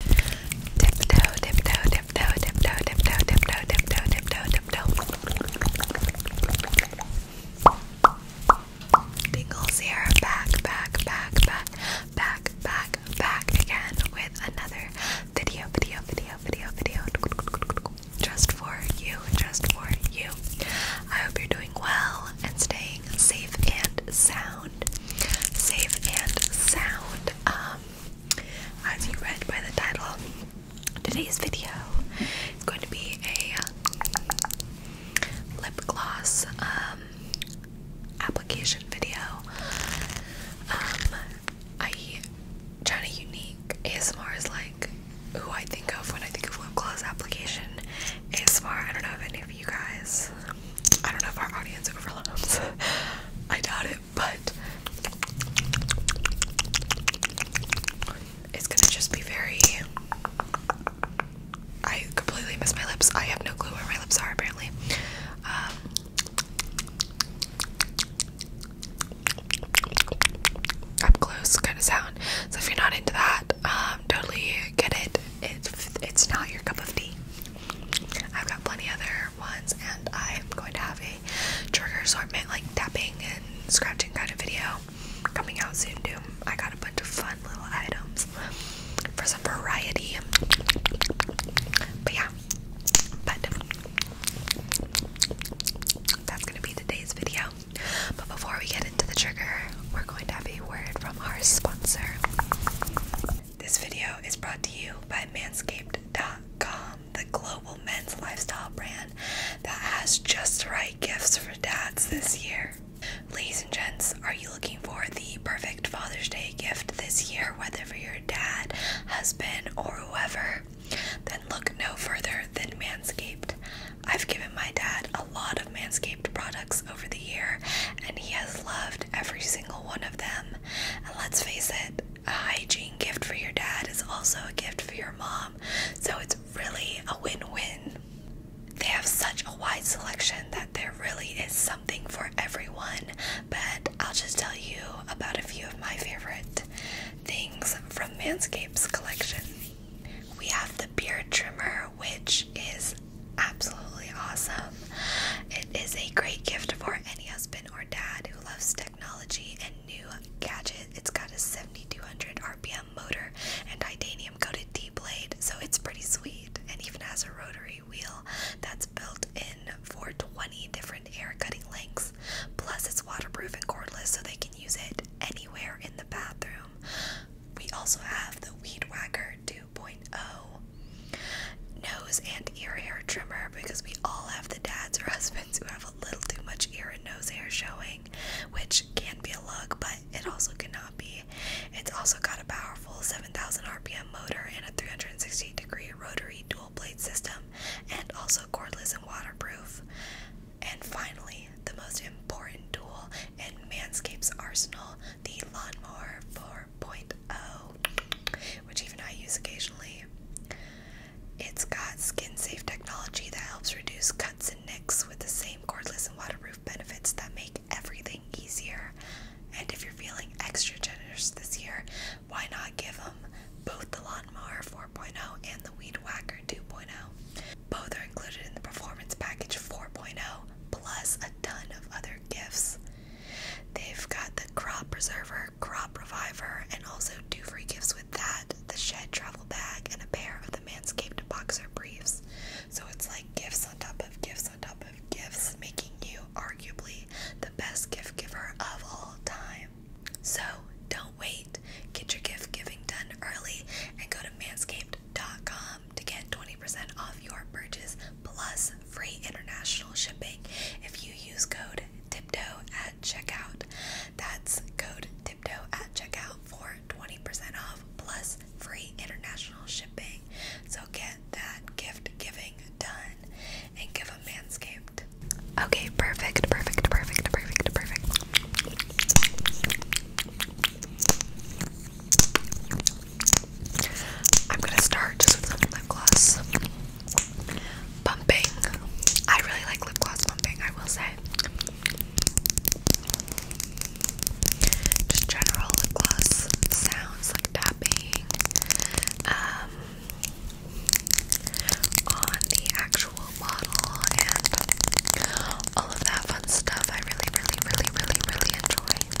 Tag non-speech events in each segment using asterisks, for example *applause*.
Tiptoe, tiptoe, tiptoe, tiptoe, tiptoe, tiptoe, tiptoe, tiptoe, tiptoe. Tingles here, back, back, back, back, back, back, back again with another video, video, video, video, video. Just for you, just for you. I hope you're doing well and staying safe and sound. Safe and sound. Um, as you read by the title, today's video is going to be a uh, lip gloss um, application video. Um, I to Unique ASMR is like who I think of when I think of lip gloss application ASMR. I don't know if any of you guys I don't know if our audience overlaps. *laughs* I doubt it, but it's gonna just be very. I completely miss my lips. I have no clue where my lips are apparently. Um, up close kind of sound. So if you're not into that, um, totally get it. It's it's not your cup of tea. I've got plenty other ones, and I'm going to have a trigger assortment like tapping and scratching kind of video coming out soon too. I got a bunch of fun little items for some variety. But yeah, but that's gonna be today's video. But before we get into the trigger, we're going to have a word from our sponsor. This video is brought to you by Manscaped.com, the global men's lifestyle brand that has just the right gifts for dads this year. Ladies and gents, are you looking for the perfect Father's Day gift this year, whether for your dad, husband, or whoever? Then look no further than Manscaped. I've given my dad a lot of Manscaped products over the year, and he has loved every single one of them. And let's face it, a hygiene gift for your dad is also a gift for your mom. So it's really a win win. They have such a wide selection that there really is something for everyone, but I'll just tell you about a few of my favorite things from Manscaped's collection. We have the beard trimmer, which is absolutely awesome. It is a great gift for any husband or dad who loves technology and new gadget. It's got a 7200 RPM motor and titanium coated D blade, so it's pretty sweet, and even has a rotary wheel that's built in for 20 different hair cutting lengths. Plus, it's waterproof and cordless, so they can use it anywhere in the bathroom. We also have the weed whacker, too, 2.0 nose and ear hair trimmer because we all have the dads or *laughs* husbands who have a little too much ear and nose hair showing, which can be a look, but it also cannot be. It's also got a powerful 7,000 RPM motor and a 360 degree rotary dual blade system, and also cordless and waterproof. And finally, the most important tool in manscapes arsenal, the lawnmower for. 4.0, which even I use occasionally. It's got skin safe technology that helps reduce cuts and nicks with the same cordless and waterproof benefits that make everything easier. And if you're feeling extra generous this year, why not give them both the Lawnmower 4.0 and the Weed Whacker 2.0? Both are included in the Performance Package 4.0, plus a ton of other gifts. They've got the crop preserver, crop reviver, and also do free gifts with that the shed travel bag, and a pair of the Manscaped boxer briefs. So it's like gifts on top of gifts on top of gifts, making you arguably the best gift giver of all time. So don't wait, get your gift giving done early and go to manscaped.com to get 20% off your purchase plus free international shipping if you use code tiptoe at checkout. That's code tiptoe at checkout for 20% off plus free international shipping. So get that gift giving done and give a manscaped. Okay, perfect, perfect, perfect, perfect, perfect. I'm gonna start just with some lip gloss bumping. I really like lip gloss bumping, I will say. Just general lip gloss sounds like tapping um, on the actual bottle and all of that fun stuff. I really, really, really, really, really enjoy.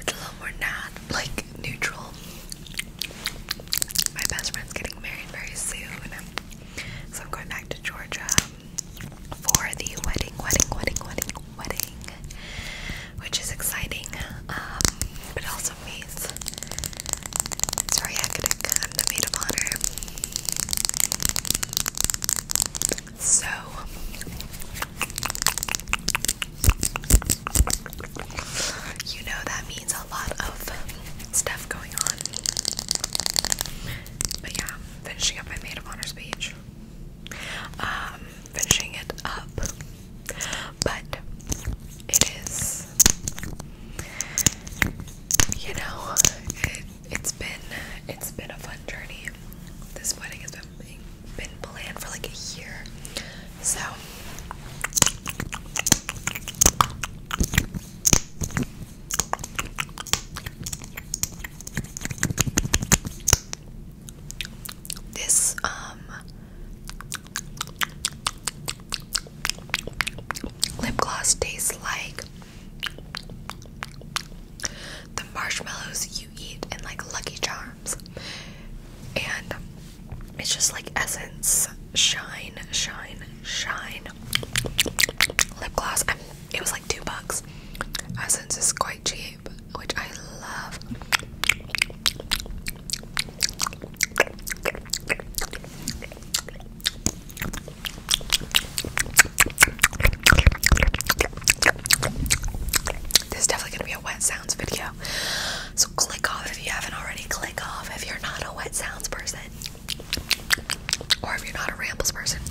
It's a little more not like neutral. My best friend's getting married very soon. So I'm going back to Georgia for the wedding, wedding, wedding, wedding, wedding, which is exciting. Um, but also means it's very hectic. i the maid of honor. So you know that means a lot of stuff going on. But yeah, finishing up my maid of honor speech. Um, finishing it up. But it is you know, it, has been it's been a fun journey. This wedding has been been planned for like a year. So this um lip gloss tastes like the marshmallows you eat in like Lucky Charms. And it's just like Essence Shine, Shine, Shine lip gloss. I'm, it was like two bucks. Essence is quite cheap, which I love. This is definitely gonna be a wet sounds video. So click off if you haven't already. Click off if you're not a wet sounds person. Or if you're not a rambles person.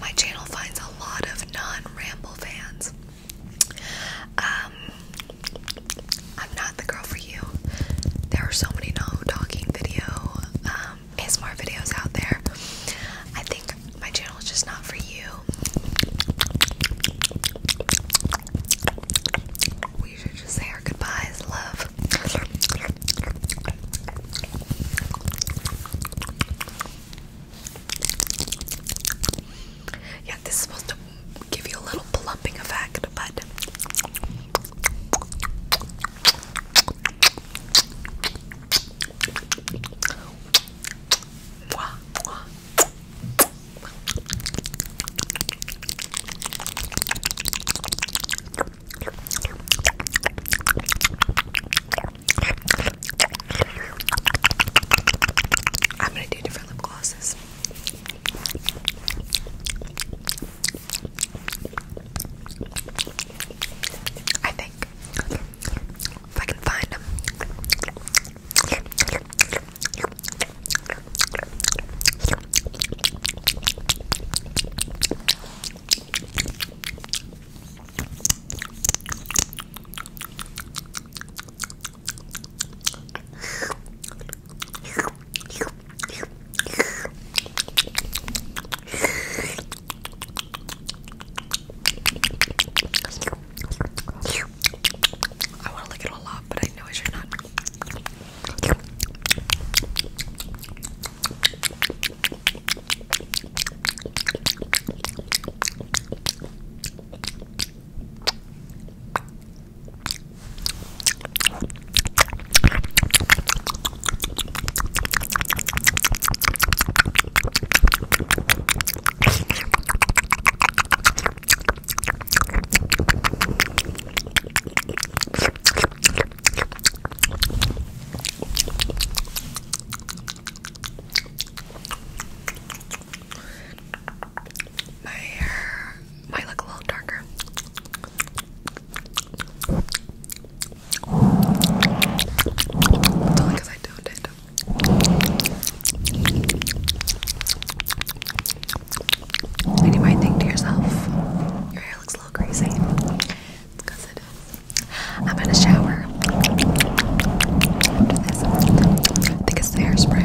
My channel finds a lot of non-ramble fans. Um, I'm not the girl for you. There are so many no talking video um, um, more videos out there. I think my channel is just not for you. We should just say our goodbyes, love. Yeah, this is supposed to give you a little plumping effect, but I'm gonna do different lip glosses. I think. If I can find them. I want to lick it all up, but I know I should not. My hair might look a little darker. It's I think to yourself, your hair looks a little crazy. It's is. I'm in a shower. think it's the hairspray.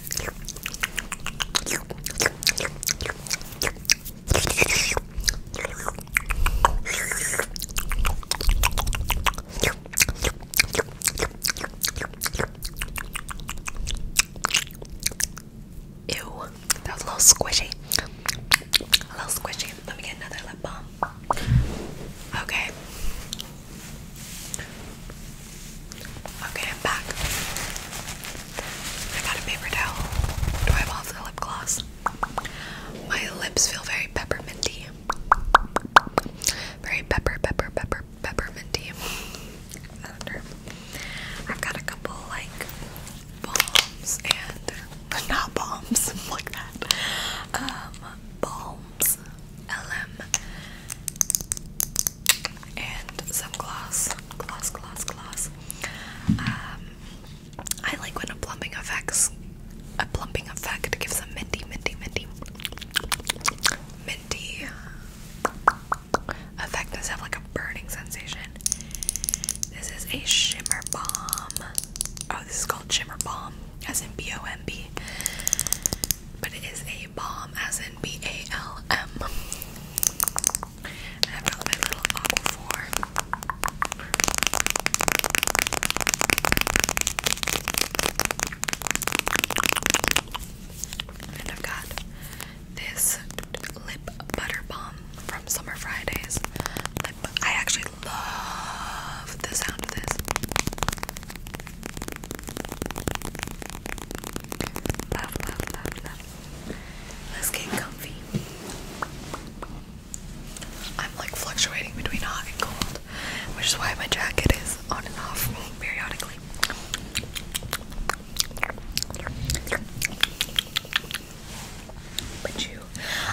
Ew, that was a little squishy. A little squishy. Let me get another lip balm. Okay. Okay, I'm back. I got a paper towel. Do I have off the lip gloss? My lips feel very pepperminty. Very pepper, pepper, pepper, pepperminty. I've got a couple like balms and *laughs* not balms *laughs* like that. Um, balms, LM and some gloss, gloss, gloss, gloss. Um, I like when a plumping effect, a plumping effect gives a minty, minty, minty, minty effect does have like a burning sensation. This is a shimmer bomb. Oh, this is called shimmer bomb, as in B O M B. But it is a balm, as in B A L M. have got this lip butter balm from Summer Fridays. I actually love the sound of this. Love, love, love, love, Let's get comfy. I'm like fluctuating between hot and cold, which is why my jacket is on and off periodically. Put you,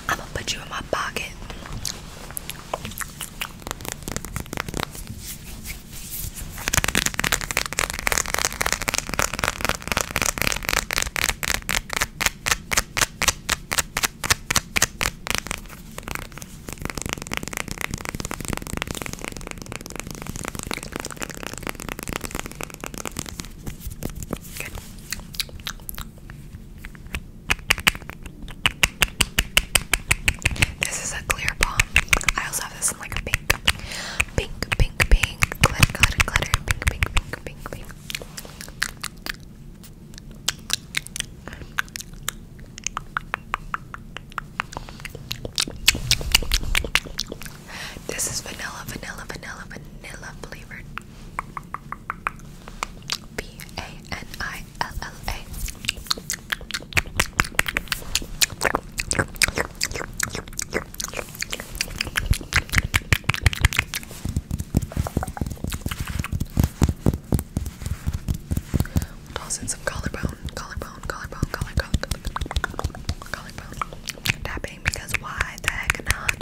I'm gonna put you in my pocket. This is a clear bomb. I also have this in like a pink pink, pink, pink, glitter, glitter, glitter, pink, pink, pink, pink, pink. This is vanilla, vanilla, vanilla, vanilla flavored. V A N I L L A. Toss in some collarbone, collarbone, collarbone, collar, collar, collar, collarbone. Tapping because why the heck not?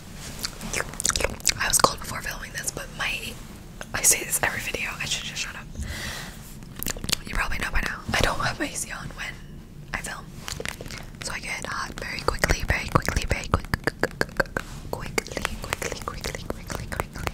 I was cold before filming this, but my I say this every video. I should just shut up. You probably know by now. I don't have my AC on when I film, so I get hot very quickly, very quickly, very quick, quickly, quickly, quickly, quickly, quickly, quickly, quickly, quickly.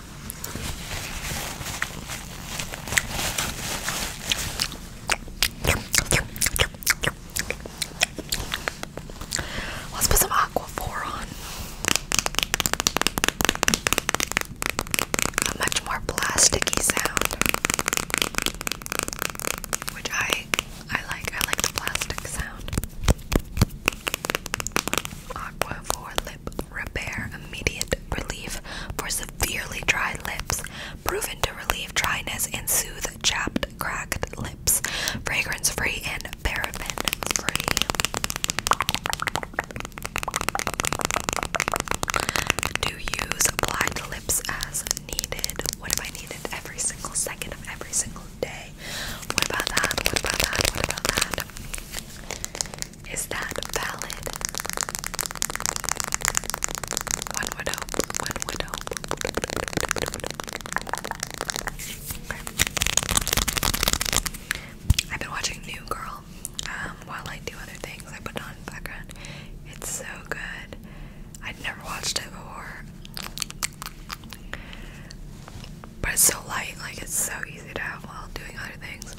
Let's put some Aquaphor on. much more plasticky sound. Which I I like. I like the plastic sound. Aqua for lip repair, immediate relief for severely dry lips, proven to relieve dryness and soothe chapped, cracked lips, fragrance free and paraben free. Do use apply lips as needed. What if I need every single second of every single day? What about that? What about that? What about that? Is that valid? I've been watching New Girl um, while I do other things. I put on background. It's so good. I'd never watched it before but it's so light, like it's so easy to have while doing other things.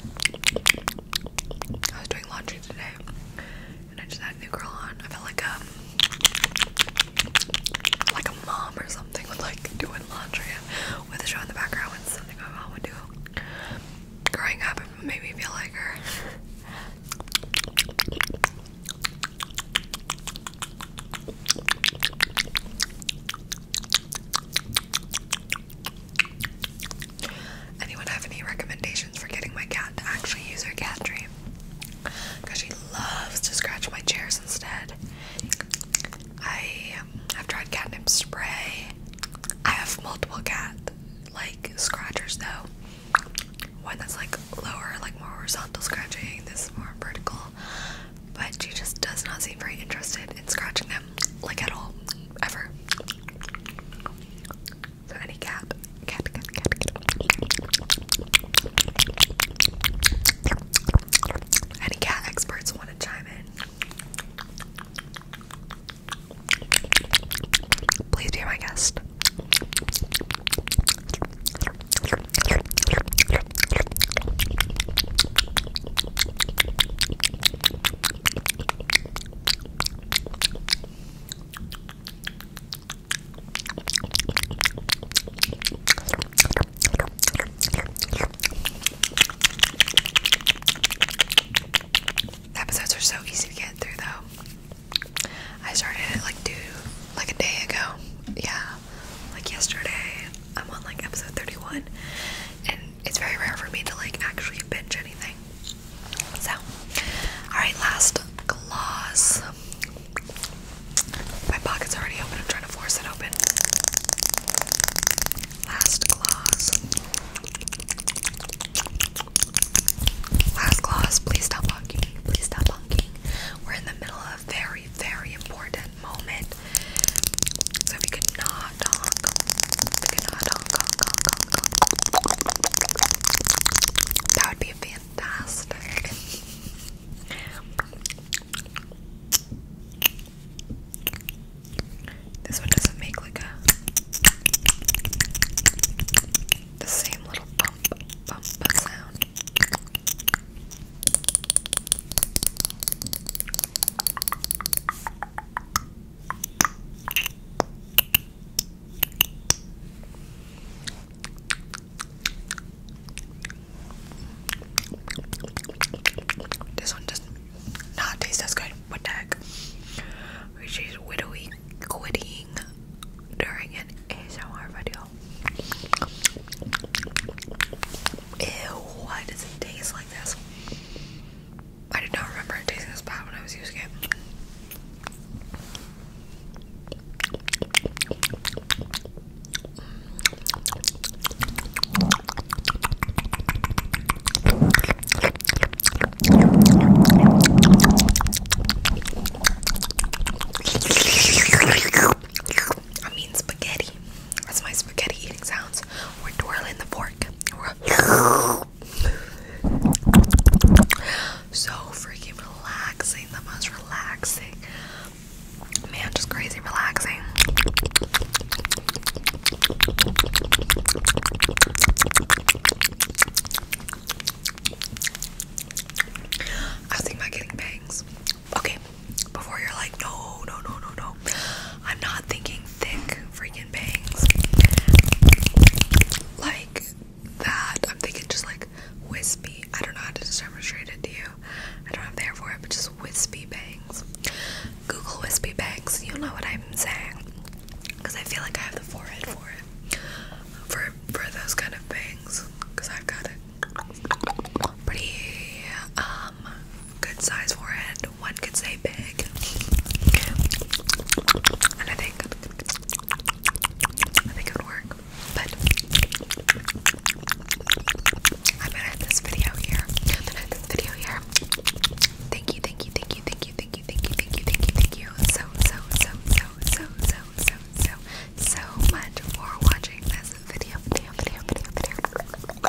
I was doing laundry today, and I just had New Girl on. I felt like um, like a mom or something with like doing laundry with a show in the background. and something my mom would do growing up. It made me feel like her. Anyone have any recommendations for getting my cat to actually use her cat tree? Because she loves to scratch my chairs instead. I um, have tried catnip spray. I have multiple cat like scratchers though. One that's like lower, like more horizontal scratching, this is more vertical but she just does not seem very interested in scratching them, like at all, ever. So any cat, cat, cat, cat, cat. Any cat experts want to chime in? Please be my guest. Episodes are so easy to get through though. I started it like two like a day ago. Yeah. Like yesterday. I'm on like episode 31 it's very rare for me to like actually binge anything. So, alright, last gloss. My pocket's already open, I'm trying to force it open. Last gloss. Last gloss, please stop honking. Please stop honking. We're in the middle of very, very important moment. So if you could not talk, could not talk, talk, talk, talk, that would be fantastic. This one doesn't make like a the same little bump bump sound. This one just not taste as good. What the heck? She's widowy quitting during an ASMR video. Ew, why does it taste like this? I did not remember it tasting this bad when I was using it. I mean spaghetti. That's my spaghetti eating sounds. We're twirling the fork. so freaking relaxing. The most relaxing. Man, just crazy relaxing. I was thinking about getting bangs. Okay, before you're like, no, no, no, no, no. I'm not thinking thick freaking bangs. Like that. I'm thinking just like wispy. I don't know how to demonstrate it to you. I don't have hair for it, but just wispy bangs. Google wispy bangs. You know what I'm saying. Because I feel like I have the forehead for it. For, for those kind of bangs. Because I've got it pretty, uh, um, good size forehead, one could say big. And I think I think it would work. But I'm gonna end this video here. Thank you, thank you, thank you, thank you, thank you, thank you, thank you, thank you, thank you. So, so, so, so, so, so, so, so, so much for watching this video, video, video, video, video.